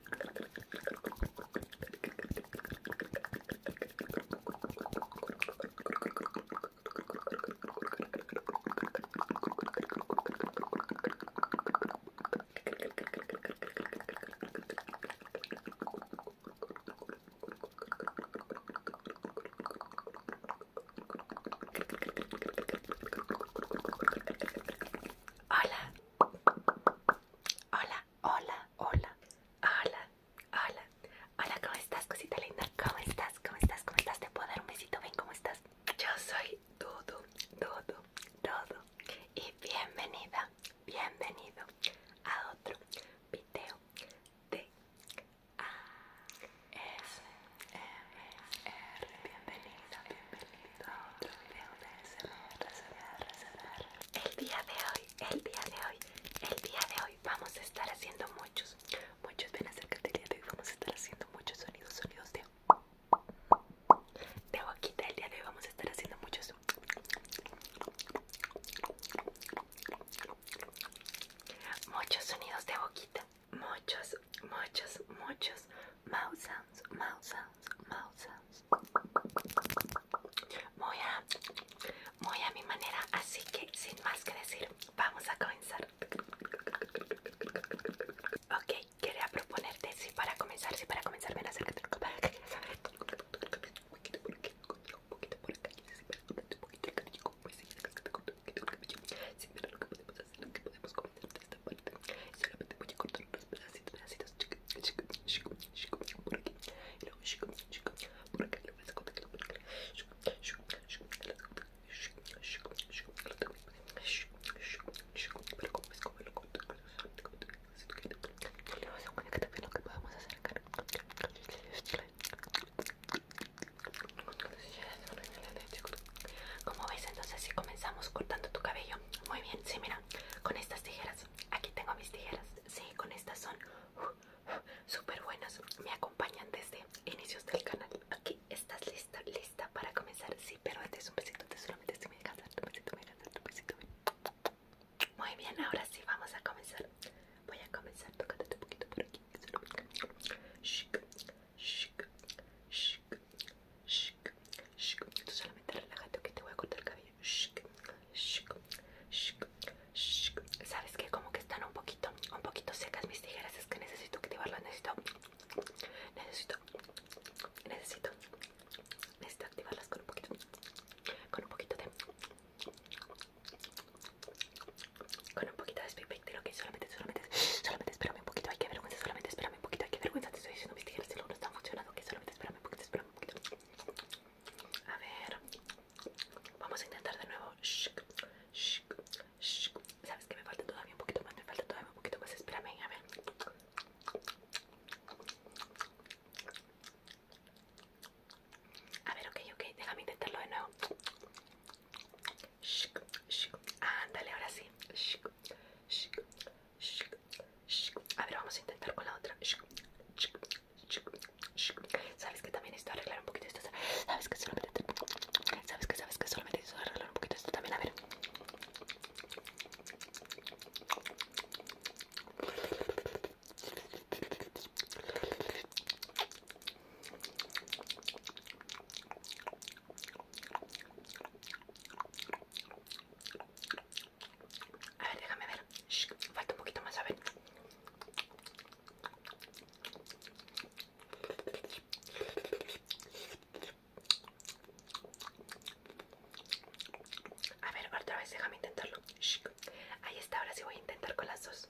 Hola. Hola. Hola, hola, hola, hola. Hola, ¿cómo estás, cosita linda? ¿Cómo estás? ¿Cómo estás? ¿Cómo estás? ¿Te puedo dar un besito? Ven, ¿cómo estás? Yo soy Dudu, Dudu, Dudu. Y bienvenida, bienvenido a otro video de ASMR. Bienvenida, bienvenido a otro video de ASMR el día de hoy, el día de hoy, el día de hoy vamos a estar haciendo muchos, muchos, ven acércate el día de hoy, vamos a estar haciendo muchos sonidos, sonidos de, de boquita, el día de hoy vamos a estar haciendo muchos muchos sonidos de boquita, muchos, muchos, muchos mouse muy a mi manera Así que sin más que decir Vamos a comenzar Ok, quería proponerte Si para comenzar Si para comenzar Ven acércate al cabello Acércate al cabello Un poquito por aquí Un poquito por acá Y así Acércate poquito poquito Sin ver lo que podemos hacer Lo que podemos comenzar De esta parte Solamente voy a cortar los pedazos como veis entonces si comenzamos cortando tu cabello muy bien, si mira, con estas tijeras Aquí tengo mis tijeras. Sí, con estas son uh, uh, súper buenas. Me acompañan desde inicios del canal. Aquí estás lista, lista para comenzar. Sí, pero antes un besito, te solamente si me dejas darte un besito, me dejas darte un besito. Muy bien, ahora sí vamos a comenzar. Voy a comenzar tócate, un poquito por aquí. Shik, shik, shik, shik, shik. Tú solamente relájate que te voy a cortar el cabello. Sabes que como que están un poquito, un poquito secas mis tijeras, es que necesito activarlas, necesito, necesito, necesito, necesito activarlas con un poquito, con un poquito de, con un poquito de speed painting, ok, solamente, solamente, solamente espérame un poquito, hay que vergüenza, solamente espérame un poquito, hay que vergüenza, te estoy diciendo mis tijeras, si no están funcionando, ok, solamente espérame un poquito, espérame. A ver. Vamos a intentar de nuevo. Sabes que me falta todavía un poquito más. Me falta todavía un poquito más. Espérame. A ver. A ver, ok, ok. Déjame intentarlo de nuevo. Ándale, ahora sí. A ver, vamos a intentar con la otra. Sabes que también estoy arreglar un poquito esto. Sabes que solamente. Sabes que sabes arreglar un poquito esto también. A ver. A ver, déjame ver. falta un poquito más, a ver. A ver, otra vez déjame intentarlo. Ahí está, ahora sí voy a intentar con las dos.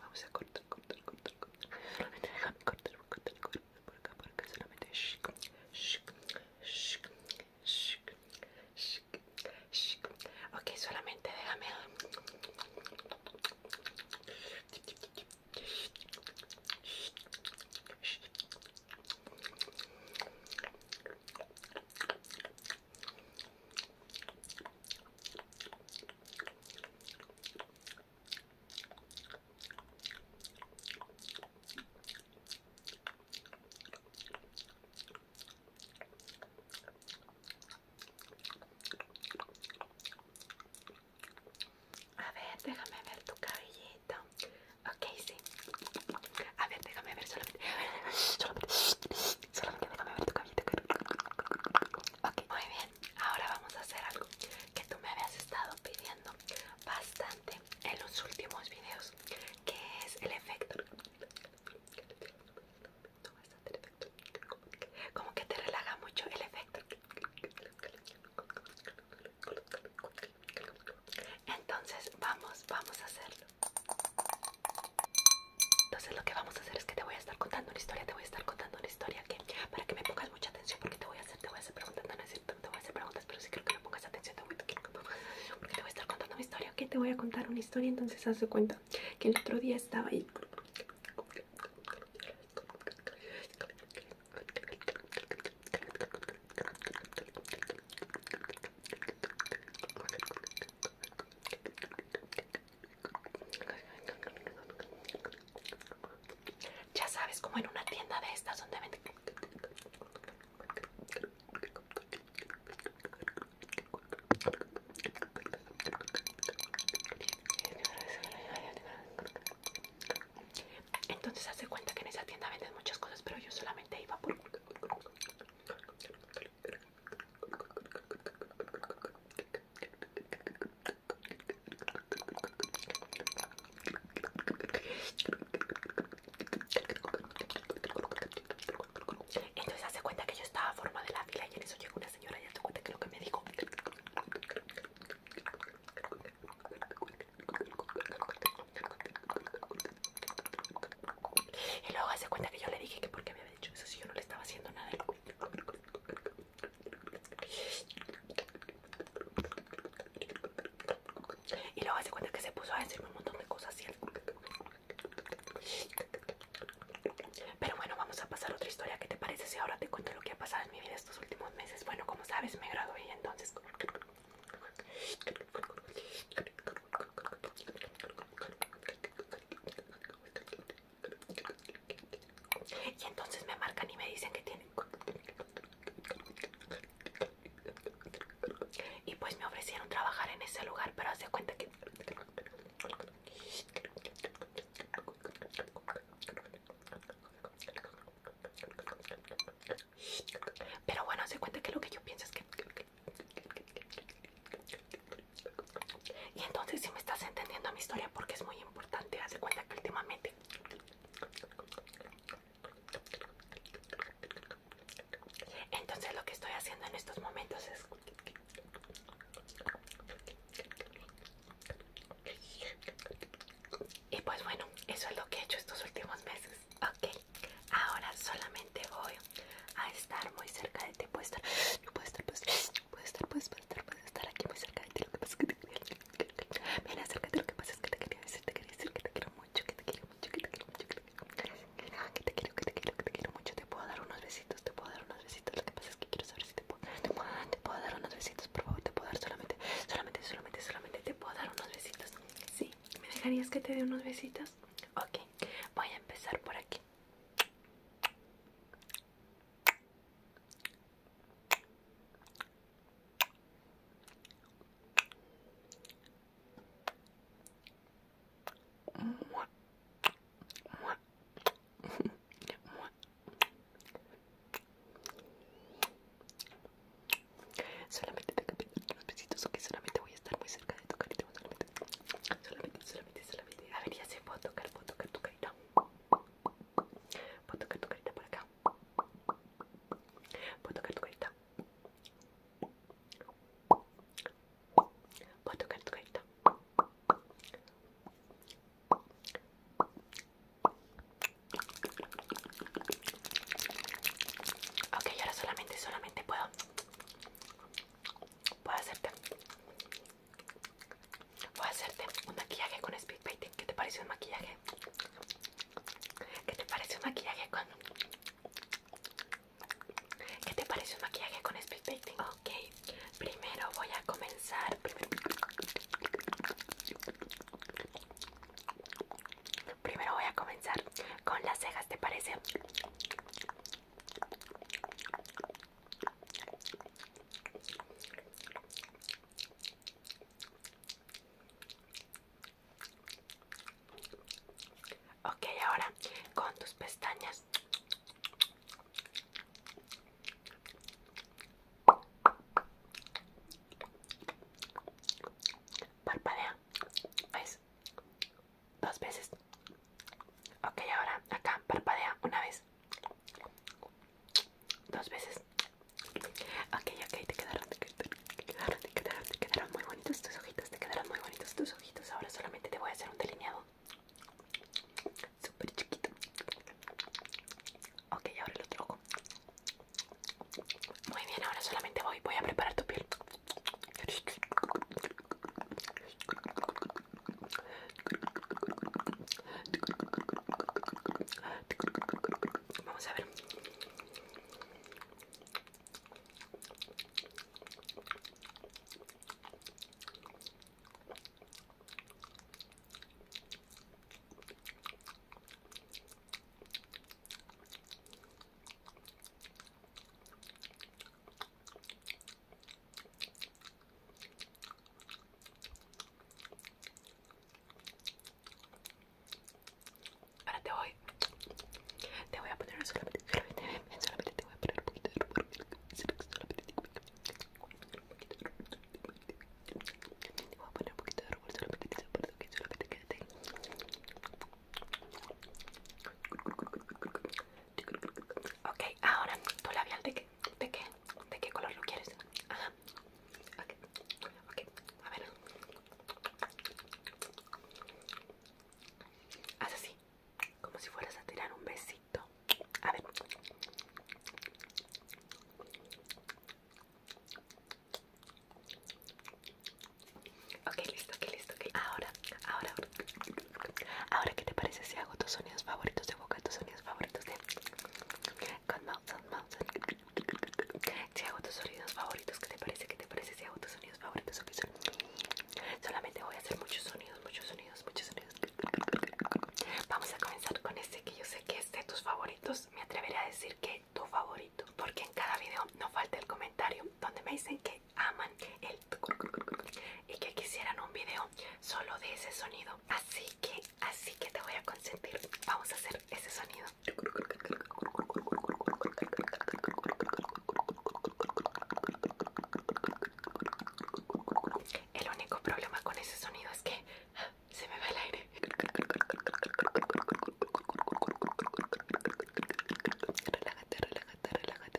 Vamos a cortar, cortar, cortar, cortar. Solamente déjame cortar, cortar, cortar. Por acá, por acá, solamente. Shik, shik, shik, shik, shik, shik. Ok, solamente déjame. A ver, déjame ver tu cabellito. Ok, sí. A ver, déjame ver solamente. solamente. Solamente déjame ver tu cabellito. Ok, muy bien ahora vamos a hacer algo que tú me habías estado pidiendo bastante en los últimos videos, que es el efecto. Como que te relaja mucho el efecto. Entonces vamos, vamos a hacerlo. Entonces lo que vamos a hacer es que te voy a estar contando una historia, te voy a estar contando historia que para que me pongas mucha atención porque te voy a hacer, te voy a hacer preguntas, no, te voy a hacer preguntas, pero si quiero que me pongas atención, te voy, a estar contando una historia, que te voy a contar una historia, entonces haz cuenta que el otro día estaba ahí ya sabes, como en una tienda de estas donde venden... Entonces hace cuenta que en esa tienda venden muchas cosas, pero yo solamente iba por... Entonces hace cuenta que yo estaba a forma de la fila y en eso llegó una señora y hace cuenta que lo que me dijo y luego hace cuenta que yo le dije que porque me había dicho eso si yo no le estaba haciendo nada y luego hace cuenta que se puso a decirme un montón de cosas Pero bueno, vamos a pasar a otra historia. ¿Qué te parece si ahora te cuento lo que ha pasado en mi vida estos últimos meses? Bueno, como sabes, me gradué entonces. Y entonces me marcan y me dicen que tienen. Y pues me ofrecieron trabajar en ese lugar, pero hace cuenta que. Pero bueno, hace cuenta que lo que yo pienso es que. Y entonces si me estás entendiendo mi historia porque es muy importante, Hace cuenta que últimamente entonces lo que estoy haciendo en estos momentos es y pues bueno, eso es lo que he hecho estos últimos meses. Ok, ahora solamente voy a estar muy cerca de ti. Puedo estar, puedo estar, pues, puedo estar, pues, estar, estar aquí muy cerca de ti. Lo que pasa es que te quiero mucho, que te quiero mucho, que te quiero mucho, que te quiero mucho, que te quiero, que te quiero, te quiero mucho. Te puedo dar unos besitos, te puedo dar unos besitos. Lo que pasa es que quiero saber si te puedo, te puedo, dar unos besitos, por favor. Te puedo dar solamente, solamente, solamente, solamente. Te puedo dar unos besitos. Sí, ¿me dejarías que te dé unos besitos? Ok, voy a empezar por aquí. Solamente te cambié los besitos, ok, solamente voy a estar muy cerca de tu carita, solamente, solamente, solamente, solamente. A ver, ya se puedo tocar, puedo tocar, tocar. Puedo tocar tu carita por acá. Puedo tocar tu carita. Puedo tocar tu carita. Ok, ahora solamente, solamente puedo. Puedo hacerte. Voy a hacerte un maquillaje con speedpainting ¿Qué te parece un maquillaje? ¿Qué te parece un maquillaje con... ¿Qué te parece un maquillaje con speedpainting? Ok, primero voy a comenzar... Primero voy a comenzar con las cejas, ¿te parece? Ok, ahora con tus pestañas. Parpadea. ¿Ves? Dos veces. Okay, ahora acá parpadea una vez dos veces ok ok te quedaron te quedaron te quedaron te quedaron, muy bonitos tus ojitos te quedaron muy bonitos tus ojitos ahora solamente te voy a hacer un delineado súper chiquito ok ahora el otro muy bien ahora solamente voy voy a preparar tu piel Vamos a ver. Ahora te voy. Te voy a poner solamente, te voy a poner un poquito de rubor. Solamente te voy a poner un poquito de rubor. Solamente solamente Ok, ahora, ¿tu labial de qué? ¿De qué? ¿De qué color lo quieres? Ajá. Ok, a ver. Haz así, como si fueras a tirar un besito. A ver. Ok, listo, ok, listo, ok. Ahora, ahora, Ahora, ¿qué te parece si hago tus sonidos favoritos de boca, tus sonidos favoritos de Si hago tus sonidos favoritos, ¿qué te parece? ¿Qué te parece si hago tus sonidos favoritos? Solamente voy a hacer muchos sonidos, muchos sonidos, muchos sonidos. Vamos a comenzar con este que yo sé que es de tus favoritos. Me atreveré a decir que tu favorito, porque en cada video no falta el comentario donde me dicen que aman el y que quisieran un video solo de ese sonido. Así que, así que te voy a consentir. Vamos a hacer ese sonido. El único problema con ese sonido es que ah, se me va el aire. Relájate, relájate, relájate.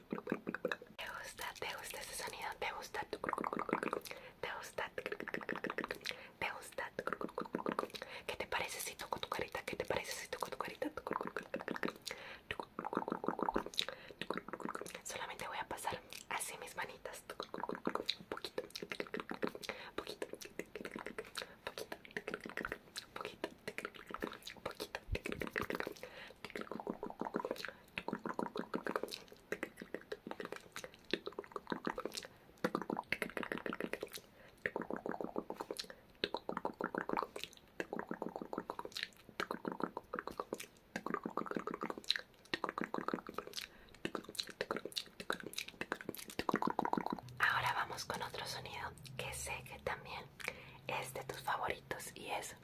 ¿Te gusta? ¿Te gusta ese sonido? ¿Te gusta? ¿Te gusta? ¿Te gusta? ¿Qué te parece si toco tu carita? ¿Qué te parece si toco tu carita? Solamente voy a pasar así mis manitas. Poquito, poquito, poquito, poquito, poquito, poquito, Ahora vamos con otro sonido que sé que también es de tus favoritos y es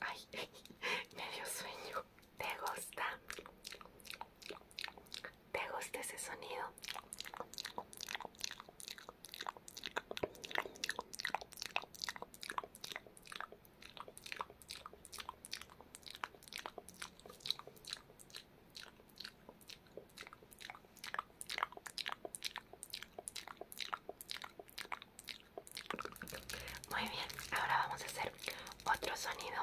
Ay, me dio sueño. ¿Te gusta? ¿Te gusta ese sonido? Muy bien, ahora vamos a hacer otro sonido.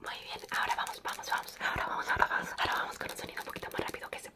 Muy bien, ahora vamos, vamos, vamos, ahora vamos, ahora vamos, ahora vamos con un sonido un poquito más rápido que ese.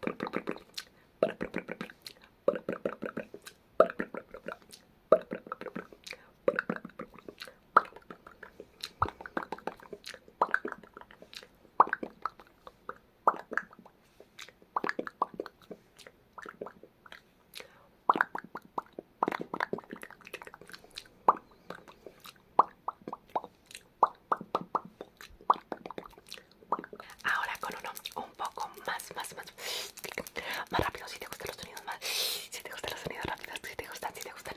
Ahora con uno un poco más, más, más, más rápido. Si te gustan los sonidos más, si te gustan los sonidos rápidos, si te gustan, si te gustan.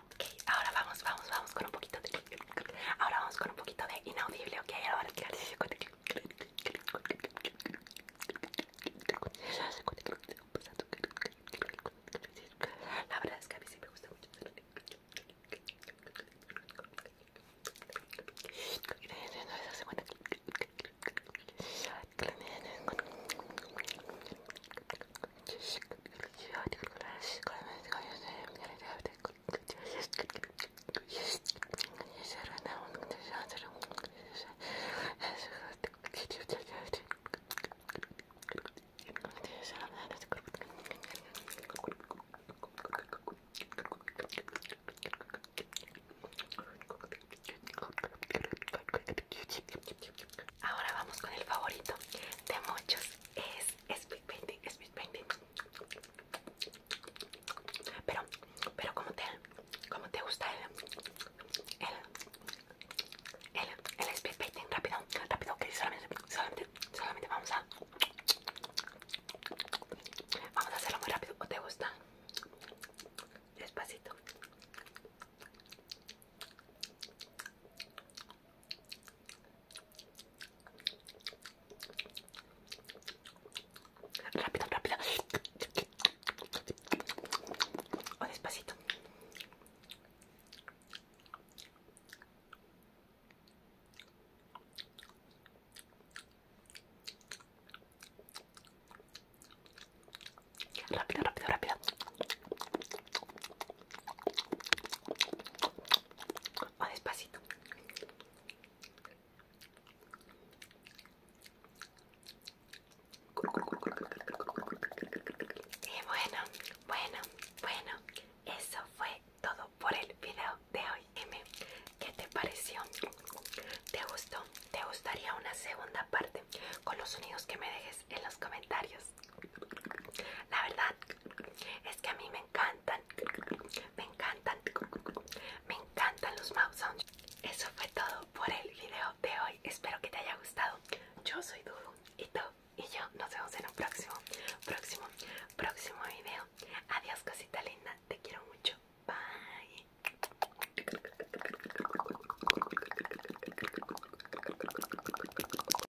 Ok, ahora vamos, vamos, vamos con un poquito de... Ahora vamos con un poquito de inaudible, ok, ahora vamos La verdad es que a mí sí me gusta mucho. Ahora vamos con el favorito de muchos, es es speed painting, speed painting. Pero, pero como te, como te gusta el, el, el, el speed painting rápido, rápido que solamente, solamente, solamente vamos a, vamos a hacerlo muy rápido. ¿O te gusta? Despacito. Rápido, rápido. O despacito. Rápido, rápido, rápido o despacito y bueno, bueno, bueno, eso fue todo por el video de hoy. Dime, ¿qué te pareció? ¿Te gustó? ¿Te gustaría una segunda parte? Con los sonidos que me dejes en los comentarios. La verdad es que a mí me encantan, me encantan, me encantan los mouse sounds. Eso fue todo por el video de hoy. Espero que te haya gustado. Yo soy Dudu y tú y yo nos vemos en un próximo, próximo, próximo video. Adiós, cosita linda. Te quiero mucho. Bye.